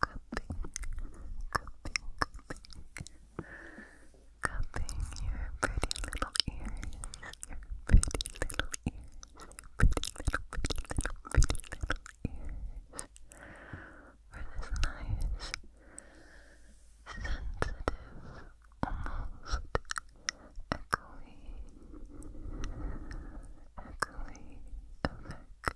cupping, cupping, cupping, your pretty little ears, your pretty little ears, pretty little, pretty little, pretty little ears for this nice, sensitive, almost echoey, echoey effect.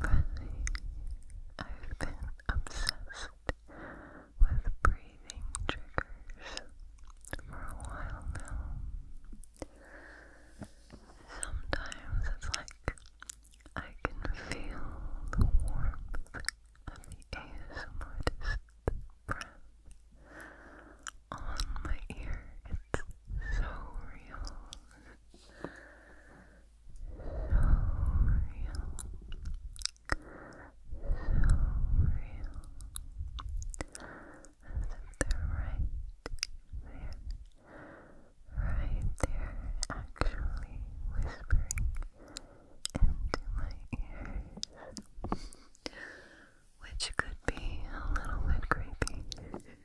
Really, I've been obsessed with breathing triggers for a while now. Sometimes it's like I can feel the warmth of the ASMRtist's breath on my ear. It's so real, if they're right there, right there, actually whispering into my ears, which could be a little bit creepy.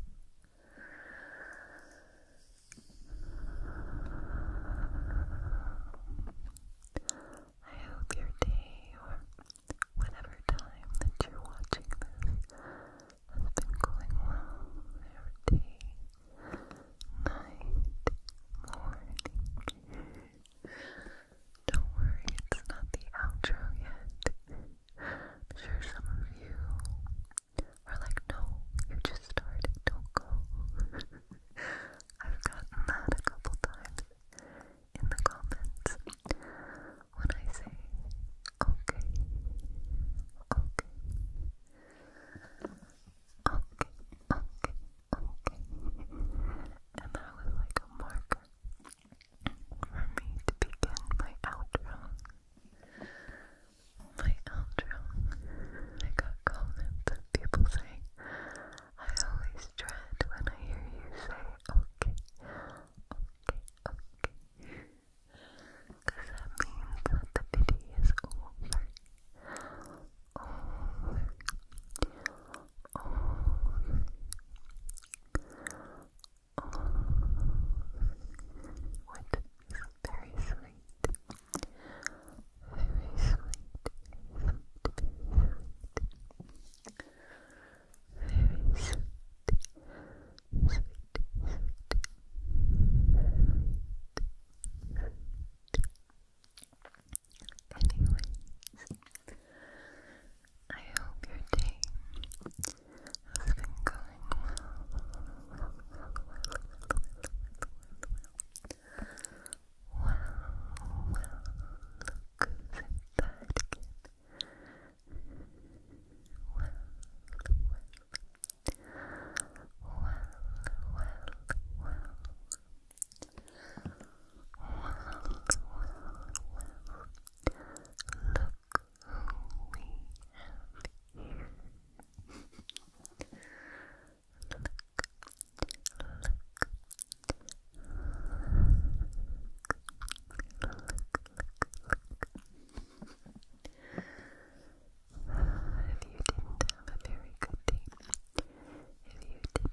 I hope your day or whatever time that you're watching this has been going well. Your night, morning. Don't worry, it's not the outro yet. I'm sure some of you are like, no, you just started, don't go. I've gotten that a couple times in the comments when I say, okay, okay, okay, okay, okay. And that was like a marker for me to begin my outro. My outro. I got comments of people saying, I always dread when I hear you say, okay, okay, that means that the video is Over. Oh, is very sweet. Very sweet. Very sweet. Very sweet. Sweet. Sweet. Anyways, I hope your day has been going well. Well, well, well, well, well, well, again. well, well. Well, well, well, well. Look who we have here. look, look, look, look, look. If you didn't have a very good day, if you did not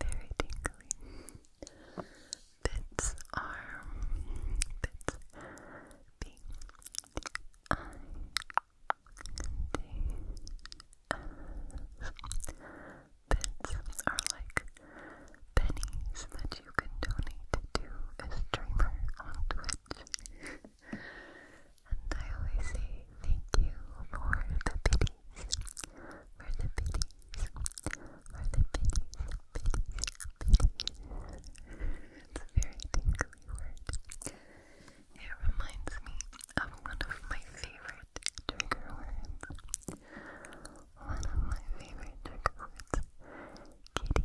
very tingly. Bits are bits B I D S. Bits are like pennies that you can donate to a on Twitch. And I always say thank you for the video for the biddies, for the biddies, biddies, biddies. It's a very tingly word. It reminds me of one of my favorite trigger words. One of my favorite trigger words. Kitty. Kitty.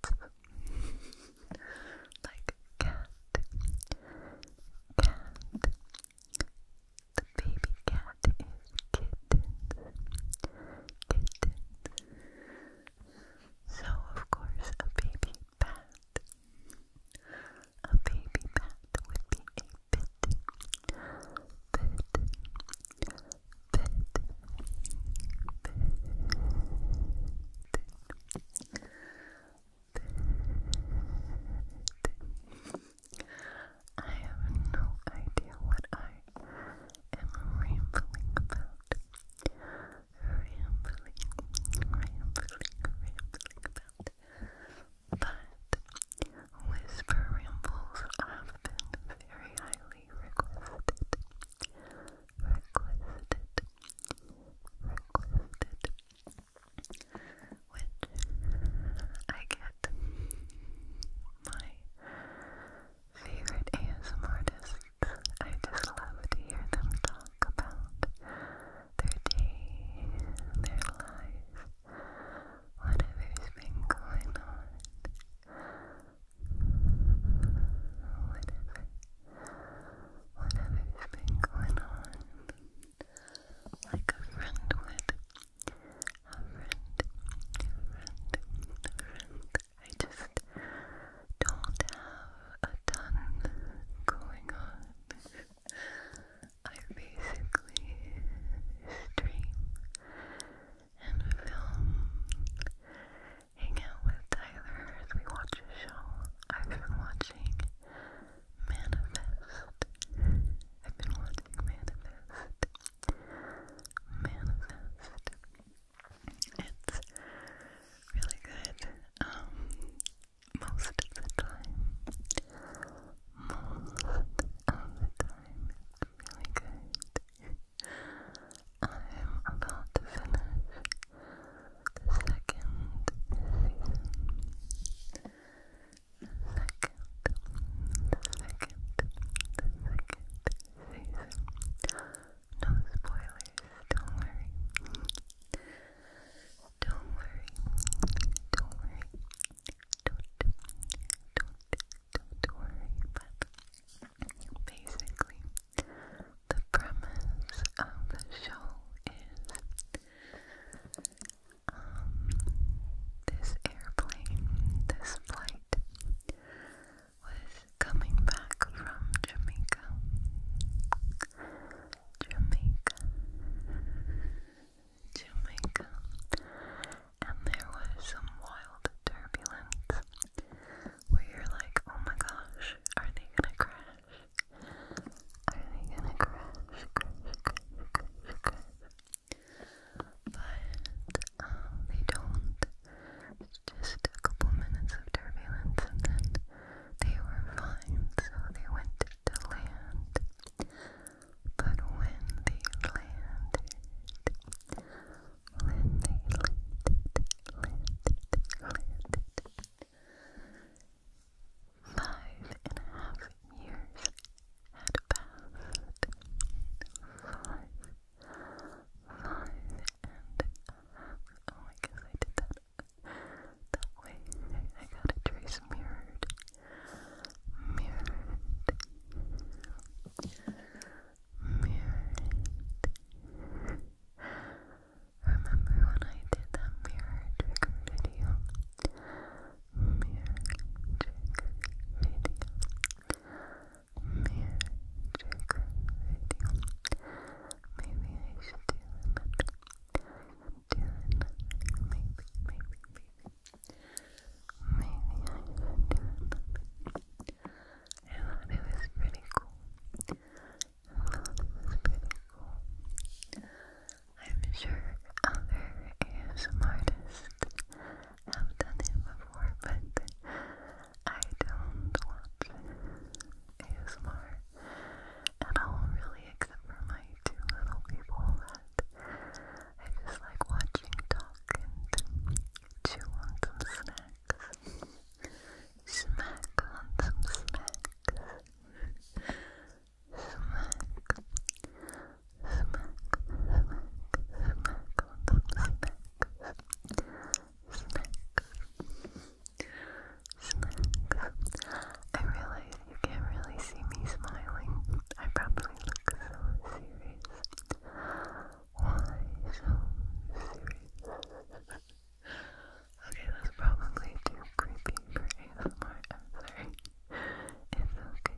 cats. like cat, cat. The baby cat is kittens, kittens. So of course a baby bat, a baby bat would be a bit, bit, bit, bit. I have no idea what I am rambling about. Rambling, rambling, rambling about. But whisper rambles have been very highly requested. Requested recorded, which I get my favorite ASMR I just love to hear them talk about their day, their life, whatever's been going on, whatever whatever's been going on. Like a friend would. A friend, a friend, a friend. I just don't have a ton going on. I basically stream and film hang out with Tyler as we watch a show. I've been watching Manifest. I've been watching Manifest. Manifest. It's really good. Um, most of the time. Most of the time, really good. I'm about to finish the second season. second, the second, the second season. No spoilers, don't worry. Don't worry, don't worry. Don't, don't, don't worry, but basically, the premise of the show is um, this airplane, this flight was coming back from Jamaica. Jamaica. Jamaica. And there was some wild turbulence where you're like, oh my gosh, are they gonna crash? Are they gonna crash? But um, they don't. It's just a couple minutes of turbulence and then they were fine, so they went to land. But when they landed, landed, landed, Five and a half years had passed. Five, five and a half. Oh, I guess I did that that way. I got a trace mirrored. Mirrored. Mirrored. Remember when I did that mirror trigger video? Mirror trigger video. Mirror trigger video. Maybe I should do another. Maybe, maybe, maybe. Maybe I should do another thought it was pretty cool. I thought it was pretty cool. I'm sure other ASM have done it before, but I don't watch ASMR at all, really, except for my two little people that I just like watching talk and chew on some snacks. Smack on some smack. Smack. Smack, smack, smack on some smack. Smack. Smack. I realize you can't really see me smiling. I probably look so serious. Why so serious? Okay, that's probably too creepy for ASMR. sorry. It's okay. It's okay.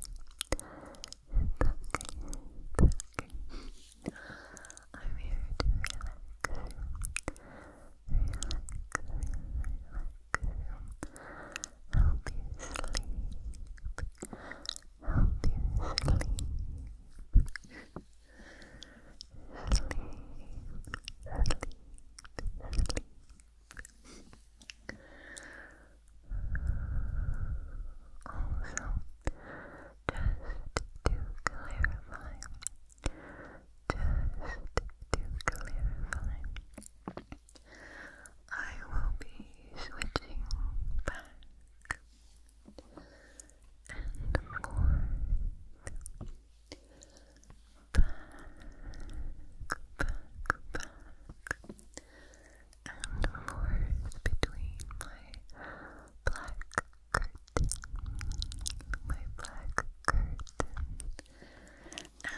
It's okay. I'm here to Relax, relax, relax. Help you sleep. Help you sleep sleep, sleep, Also, just to clarify, just to clarify, I will be switching back forth between my black curtain, my black curtain,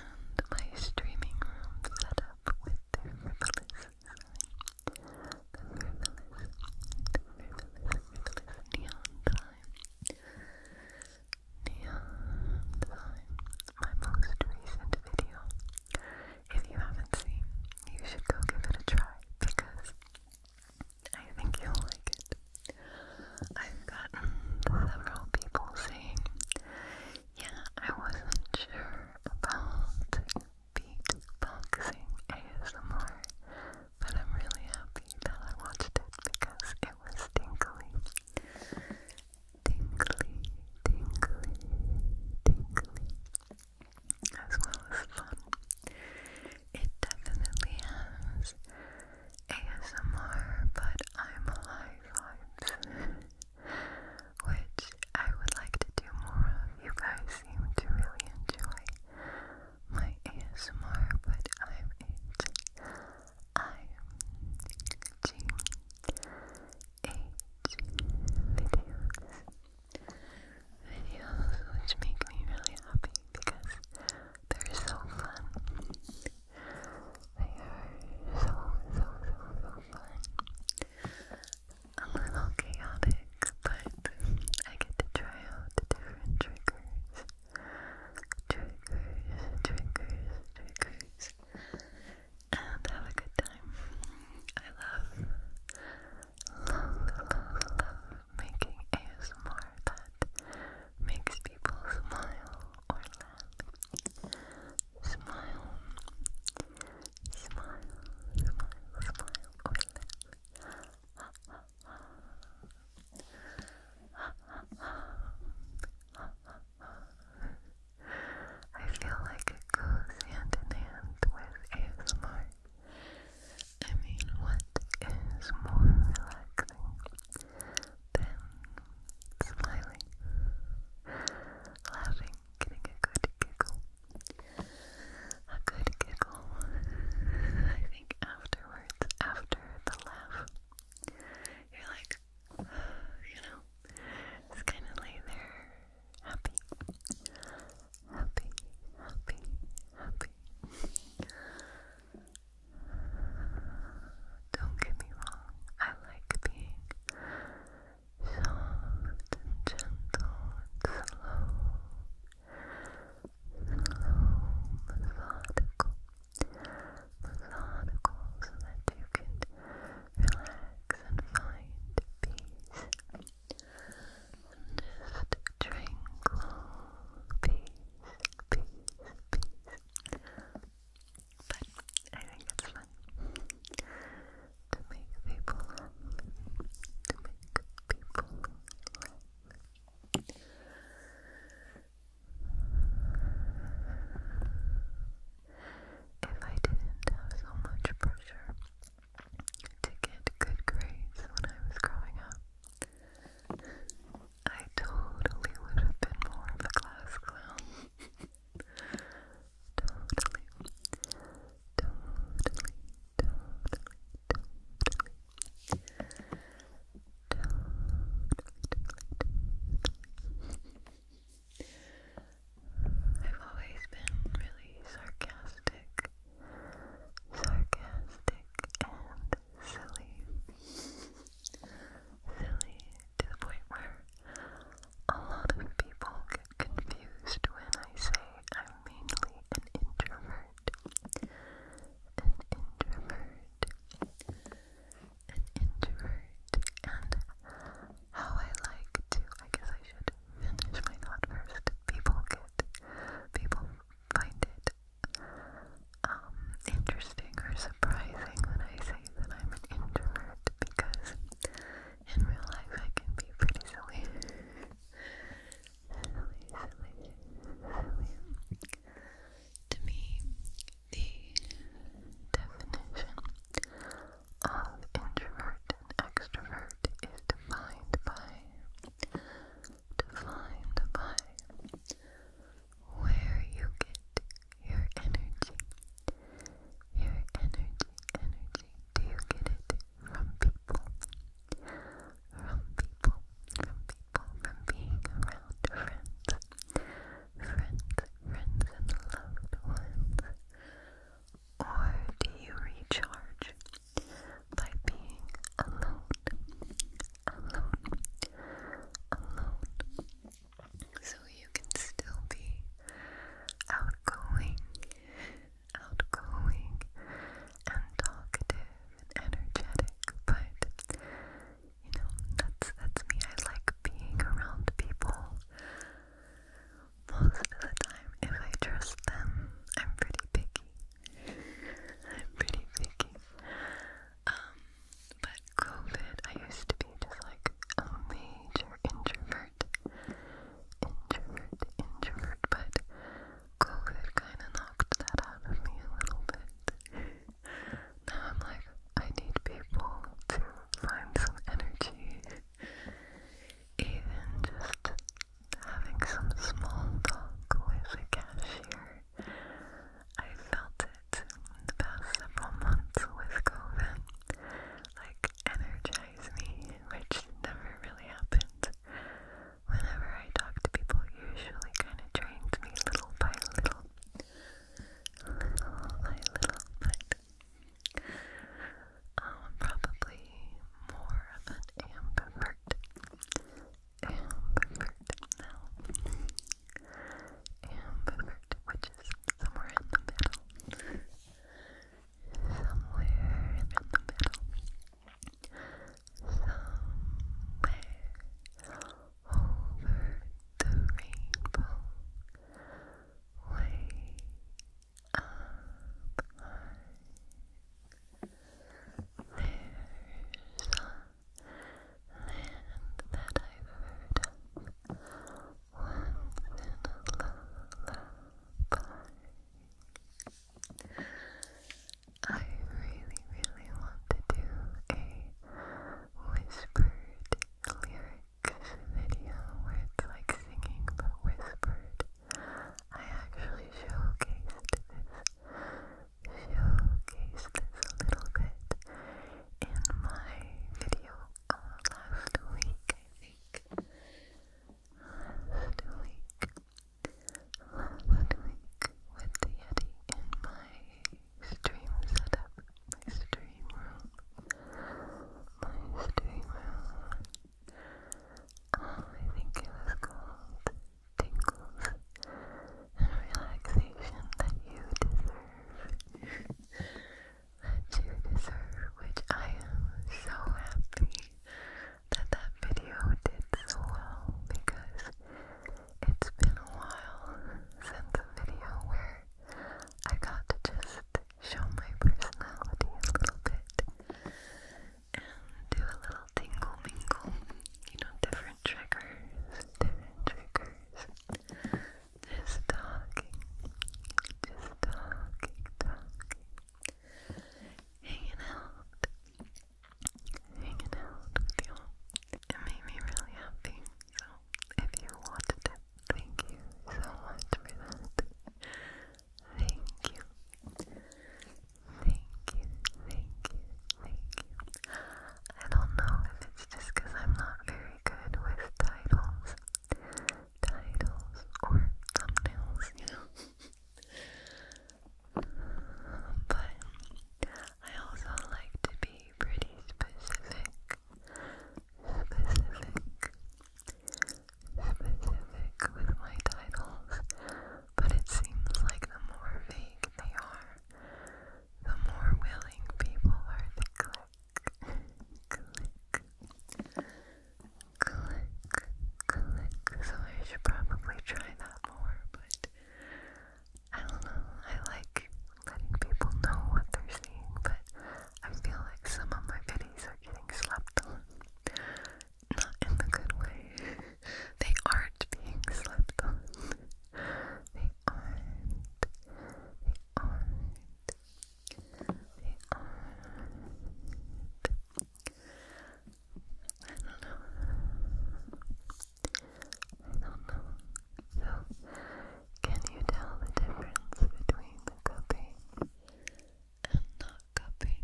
and my streaming room set up with their Neon Time. Neon Time. My most recent video. If you haven't seen, you should go give it a try because I think you'll like it. I've gotten several people saying, yeah, I wasn't sure about beatboxing ASMR, but I'm really happy that I watched it because it was tingly. Tingly, tingly, tingly. As well as fun. It definitely has ASMR, but I'm a vibes. Which I would like to do more of. You guys seem to really enjoy my ASMR, but I'm it. videos. Videos which make me really happy because they're so fun. They are so, so, so, so fun a little chaotic, but I get to try out different triggers. Triggers, triggers, triggers. And have a good time. I love, love, love, love making ASMR that makes people smile or laugh. Smile, smile, smile, smile, or laugh. I feel like it goes hand in hand with ASMR. I mean, what is more relaxing than smiling, laughing, getting a good giggle? a good giggle. I think afterwards, after the laugh, you're like, you know, just kind of lay there, happy, happy, happy, happy. Don't get me wrong, I like being soft and gentle and slow slow, methodical, methodical, so that you can relax and find peace. And just tranquil peace, peace, peace. But I think it's fun to make people to make people If I didn't have so much pressure to get good grades when I was growing up, I totally would have been more of a class clown. totally totally, totally, totally, totally. I've always been really sarcastic, sarcastic and silly, silly to the point where a lot of people get confused when I say I mainly an introvert. An introvert. An introvert. And how I like to, I guess I should finish my thought first. People get, people find it interesting or surprising when I say that I'm an introvert because in real life I can be pretty silly silly, To me, the definition of introvert and extrovert is defined by, defined by where you get your energy. Your energy, energy. Do you get it from people, from people, from people, from being around friends, friends, friends and loved ones? Or do you recharge by being alone, alone, alone? So you can still be outgoing, outgoing and talkative and energetic, but you know, that's that's me. I like being around people most of the time. If I trust them, I'm pretty picky. I'm pretty picky. Um, but COVID, I used to be just like a major introvert introvert, introvert, but COVID kind of knocked that out of me a little bit. now I'm like, I need people to find some energy, even just having some small talk with a cashier. I felt it in the past several months with COVID. Like, energize me, which never really happens. Whenever I talk to people, usually kind of drains me little by little. Little by little, but um, probably more of an ambivert. Ambivert now. Ambivert, which is somewhere in the middle somewhere in the middle, somewhere over the rainbow, way up high. There's a land that i heard of once in a lullaby. I really, really want to do a whispered lyrics video where it's like singing but whispered. I actually showcased this, showcased this a little bit in my video uh, last week, I think. Last week, last week with the Yeti in my stream setup, my stream room, my stream room. Oh, I think it was called Tingles and Relaxation That You Deserve that you deserve, which I am so happy that that video did so well because it's been a while since a video where I got to just show my personality a little bit and do a little tingle mingle, you know, different triggers, different triggers, just talking, just talking, talking hanging out, hanging out with you. It made me really happy. So if you wanted it, thank you so much for that. Thank you. Thank you, thank you, thank you. I don't know if it's just because I'm not very good with titles titles or thumbnails, but I also like to be pretty specific, specific, specific with my titles, but it seems like the more vague they are, the more willing people are to click, click click, click. So I should probably try that more, but I don't know. I like letting people know what they're seeing, but I feel like some of my videos are getting slapped on. Not in the good way. they aren't being slept on the I don't know. I don't know. So, can you tell the difference between cupping and not cupping?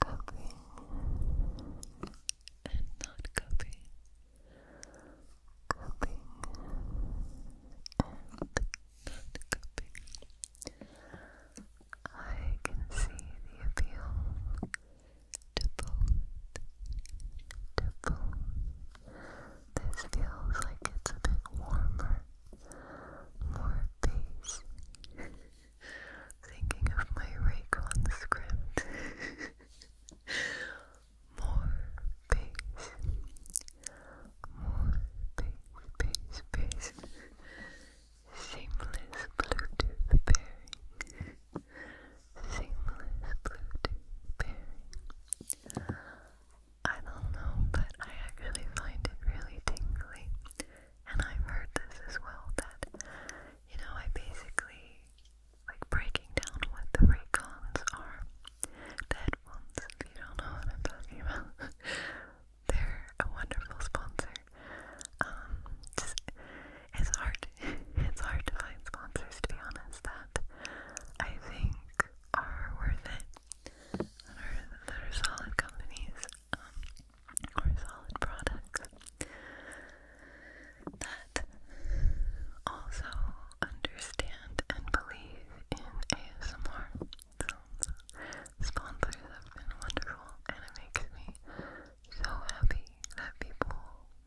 Cupping and not cupping. Cupping and and cupping. I can see the appeal to both. This feels like it's a bit warmer, more base. Thinking of my Raycon script. More base, more space, space, space. Seamless Bluetooth pairing. Seamless Bluetooth pairing. I don't know, but I actually find it really tingly. And I've heard this as well that, you know, I basically like breaking down what the cons are headphones, don't know what I'm talking about. They're a wonderful sponsor. Um, it's hard, it's hard to find sponsors, to be honest, that I think are worth it, that are, solid companies, um, or solid products, that also understand and believe in ASMR. Sponsors have been wonderful, and it makes me so happy that people,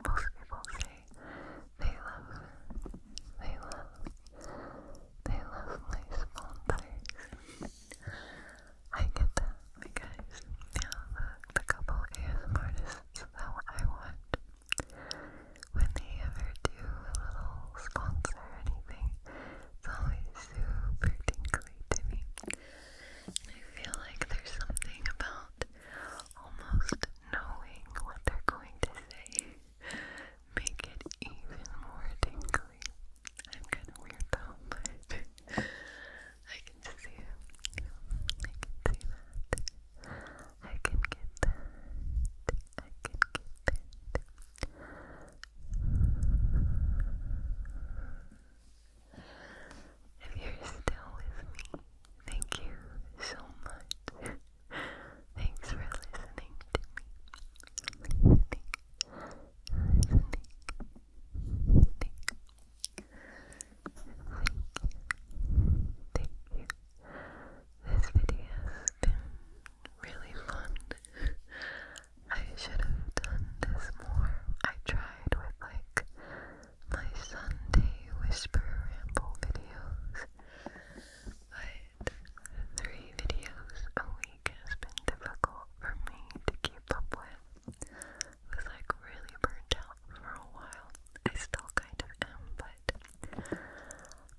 most people say they love, they love, they love my sponsors. I get that, my guys. the, the couple ASM artists that I want when they ever do a little sponsor or anything, it's always super tingly to me. I feel like there's something about almost knowing what they're going to say make it even more tingly. I'm kind of weird though, I can see it. I can see that. I can get that. I can get that. If you're still with me, thank you so much. Thanks for listening to me. Listening, listening, listening. Thank you. This video has been really fun. I should have done this more. I tried with like my Sunday whisper ramble videos, but three videos a week has been difficult for me to keep up with. I was like really burnt out for a while. I still kind of am, but there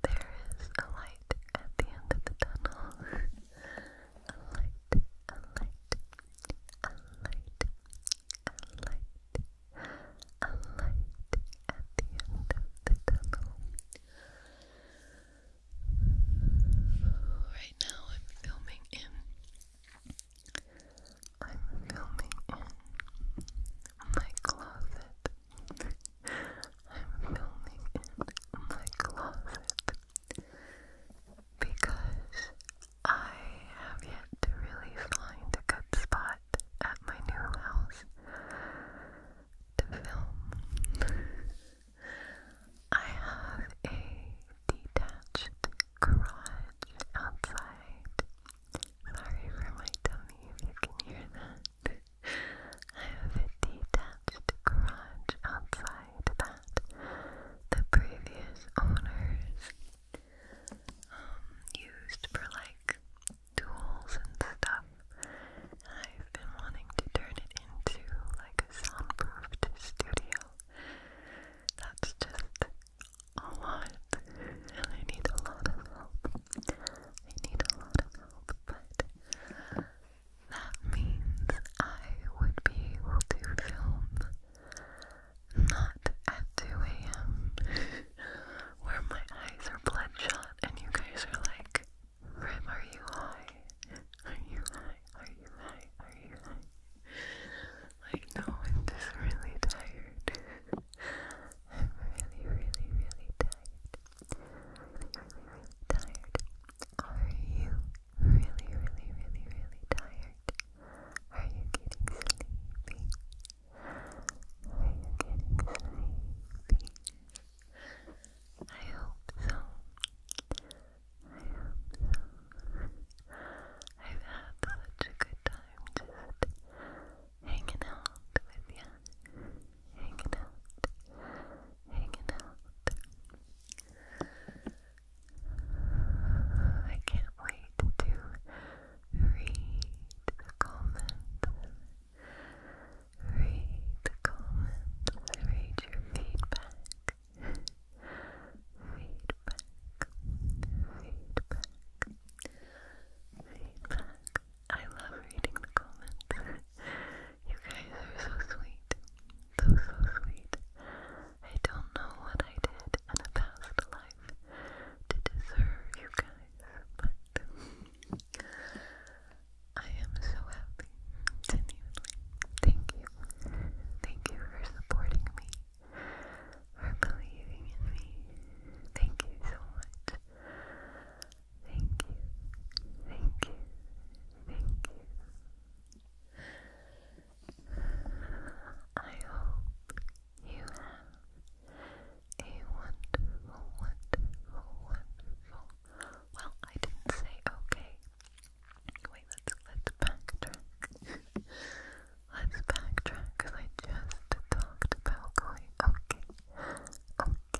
is a light at the end of the tunnel. a light, a light, a light, a light, a light at the end of the tunnel. Right now I'm filming in I'm filming in my closet I'm filming in my closet because I have yet to really find a good spot at my new house to film. I have a detached garage outside. Sorry for my tummy if you can hear that. I have a detached garage outside that the previous owners um, used for like tools and stuff. I've been wanting to turn it into like a soundproofed studio. That's just a lot, and I need a lot of help. I need a lot of help, but that means I would be able to film not at 2 a.m. where my eyes are bloodshot and you guys are like, Rim, are you high? Are you high? Are you high? Are you high? Like, no, I'm just really tired. I'm really, really, really tired. Tired? Are you really, really, really, really tired? Are you getting sleepy? Are you getting sleepy? I hope so. I hope so. I've had such a good time hanging out with you, hanging out, hanging out. I can't wait to read the comments, read the comments, read your feedback, feedback, feedback. Feedback, I love reading the comments. you guys are so sweet. So, so sweet. I don't know what I did in a past life to deserve you guys, but I am so happy. Genuinely. Thank you. Thank you for supporting me, for believing in me. Thank you so much thank you, thank you, thank you. I hope you have a wonderful, wonderful, wonderful. Well, I didn't say okay. Wait, let's let's backtrack. let's backtrack because I just talked about going okay wonderful, wonderful day.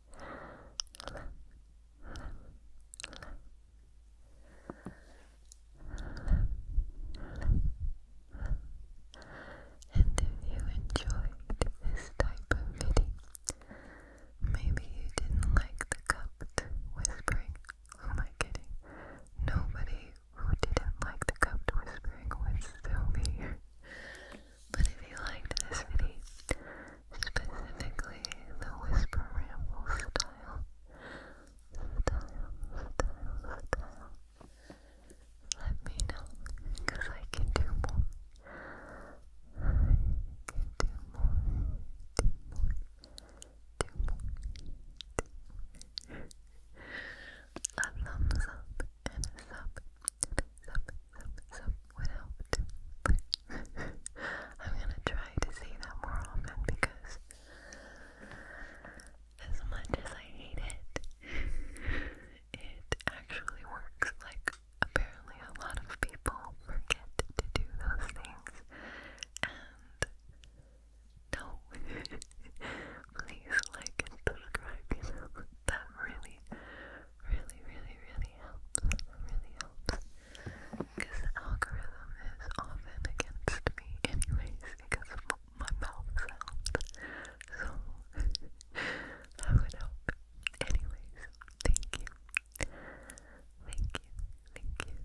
And if you enjoyed this type of video, maybe you didn't like the cupped whispering. Who am I kidding? Nobody who didn't like the cupped whispering would still be here. But if you liked this video, specifically the whisper ramble style, style, style, style, let me know, because I can do more. I can do more, do more, do more, do more. A thumbs up and sub, sub, sub, sub would help I'm gonna try to say that more often because as much as I hate it, it actually works. Like, apparently, a lot of people forget to do those things and no, please like subscribe, you that really, really, really, really helps. Really helps. Because the algorithm is often against me, anyways, because of my So, that would help. Anyways, thank you. Thank you. Thank you. Thank you.